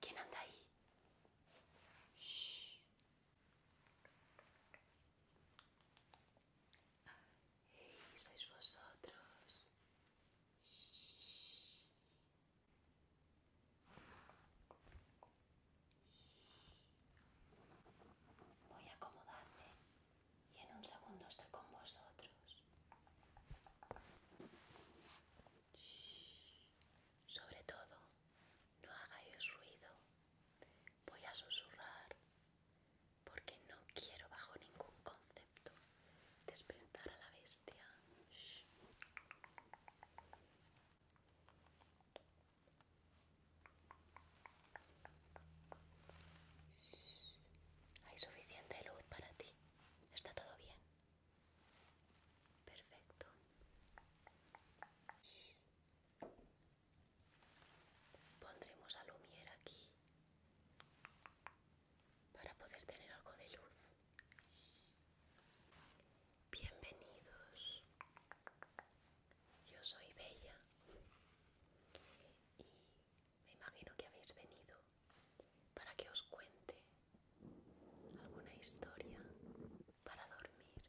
¿Quién anda ahí? Shh. Hey, sois vosotros. Voy a acomodarme y en un segundo estoy con vosotros. Sobre todo, no hagáis ruido. Voy a susurrar porque no quiero bajo ningún concepto despertar a la bestia. Hay suficiente luz para ti. Está todo bien. Perfecto. Pondremos a aquí para poder tener algo de luz. Bienvenidos. Yo soy Bella me imagino que habéis venido para que os cuente alguna historia para dormir.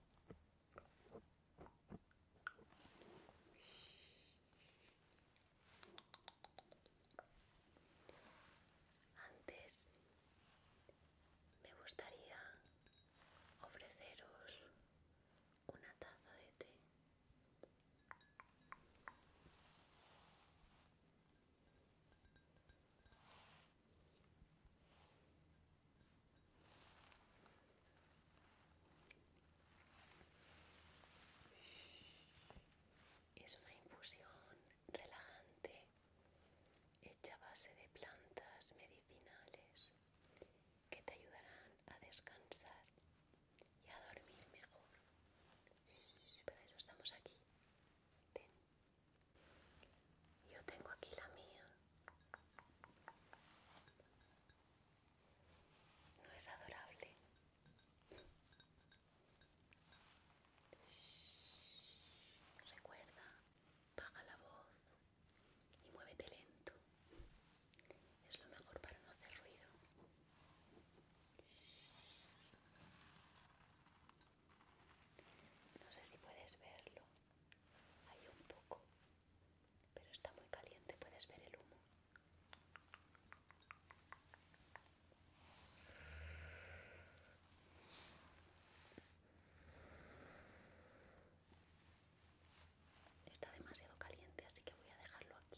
Antes me gustaría ofreceros una taza de té es una infusión relajante hecha a base de plantas medicinales que te ayudarán a descansar y a dormir mejor. Para eso estamos aquí. Yo tengo aquí la mía. ¿No es adorable? Recuerda, baja la voz y muévete lento. Es lo mejor para no hacer ruido. No sé si puedes verlo. Hay un poco, pero está muy caliente, puedes ver el humo. Está demasiado caliente, así que voy a dejarlo aquí.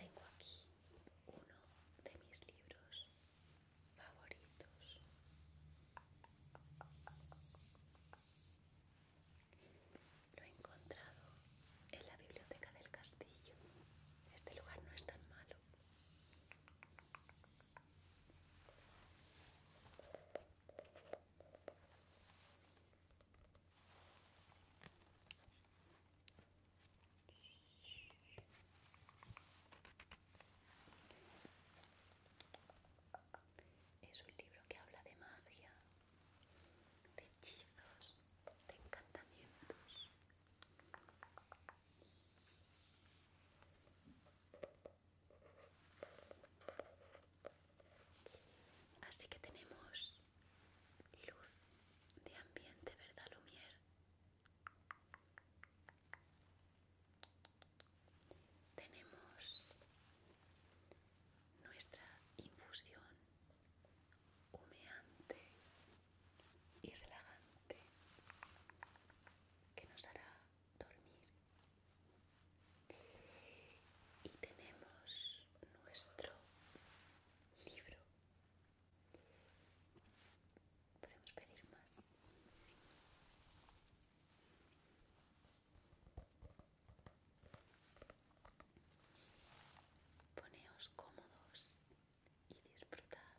Tengo aquí uno de mis libros favoritos. Lo he encontrado en la biblioteca del castillo. Este lugar no es tan malo. Es un libro que habla de magia, de hechizos, de encantamientos. Así que tenemos luz de ambiente, ¿verdad, Lumier? Tenemos nuestra infusión humeante y relajante que nos hará dormir y tenemos nuestro libro. Podemos pedir más. Poneos cómodos y disfrutad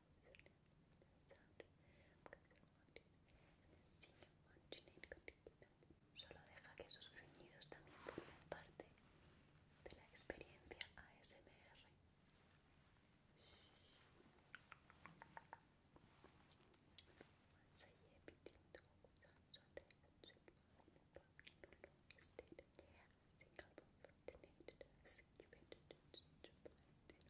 solo deja que esos gruñidos también formen parte de la experiencia ASMR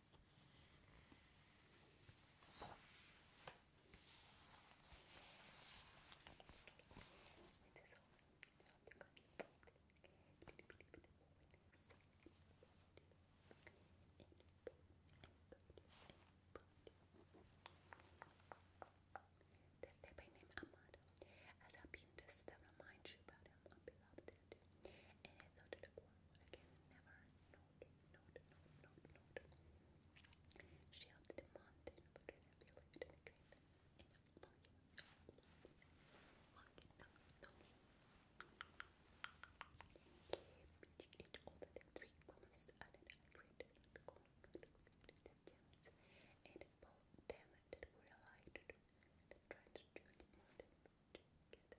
There's their by name Amado. As I've been to several mind you about him, I beloved it. And I thought it a I can never note, note, note, note, the mountain, and a great a monkey. Monkey, no, no. Bitch, it over the three cones the gems and both them that were allied to join the mountain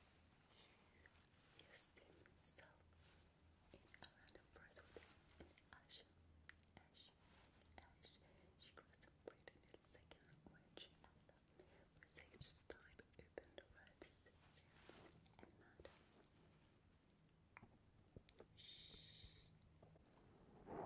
you steam yourself in a random press with ash, ash, ash. She grasps a in a second, which after research type opened webs, and mud.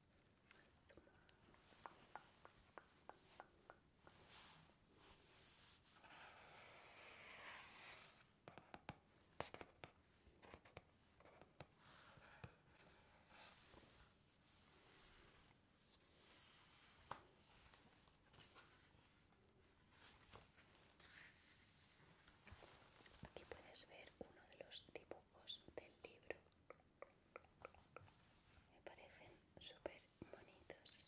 Aquí puedes ver uno de los dibujos del libro. Me parecen súper bonitos.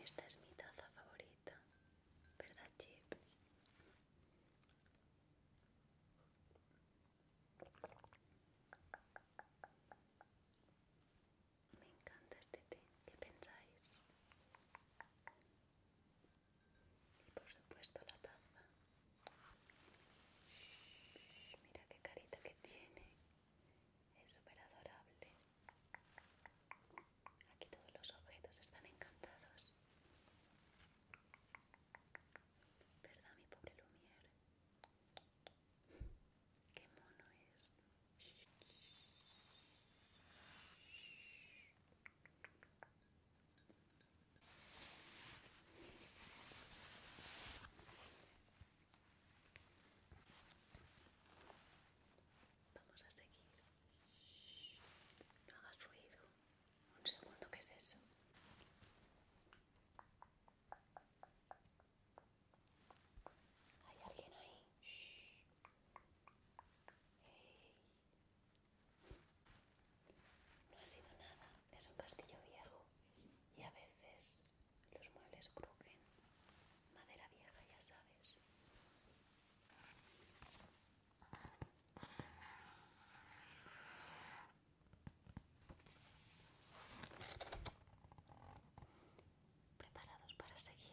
Esta es mi taza favorita, ¿verdad, Chip? Me encanta este té, ¿qué pensáis? Y por supuesto la taza mira qué carita que tiene. Es súper adorable. Aquí todos los objetos están encantados. ¿Verdad, mi pobre Lumière? Qué mono es. Vamos a seguir. no hagas ruido. Un segundo, ¿qué es eso? ¿Hay alguien ahí? No ha sido nada, es un castillo viejo y a veces los muebles crujen. Madera vieja, ya sabes. ¿Preparados para seguir?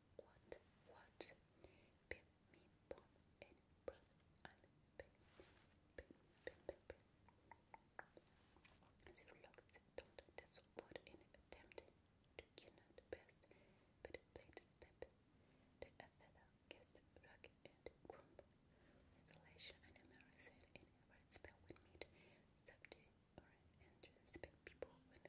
what, what? Pim, me, pom, and brother, and pim, pim, pim, pim, pim. She relaxed, don't disappoint in attempt to get out the best, but played step. The Athena gets rock and crumb. Revelation and American in every spell we meet, subdue or entrance, big people when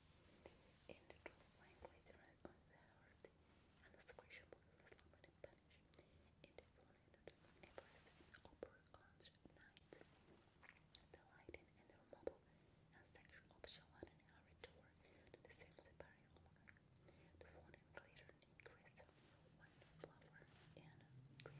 In the truth language, on the heart, and the secretion of the slumber In the morning of the Everest upper on night, the lighting and the and section of Shalan and Harry tour to the same separating longer. The morning glitter increased one flower and green.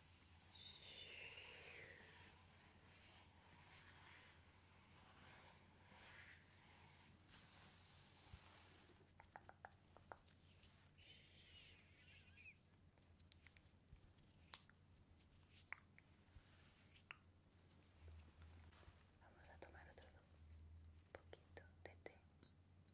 Vamos a tomar otro poquito de té.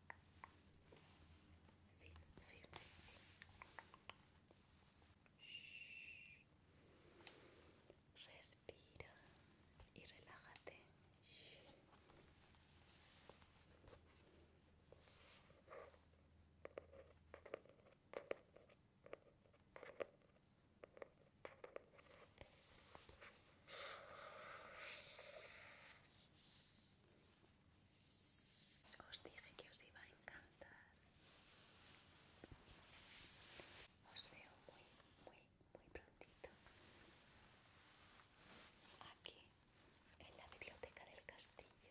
Respira y relájate. Os dije que os iba a encantar. Os veo muy, muy, muy prontito. Aquí, en la biblioteca del castillo.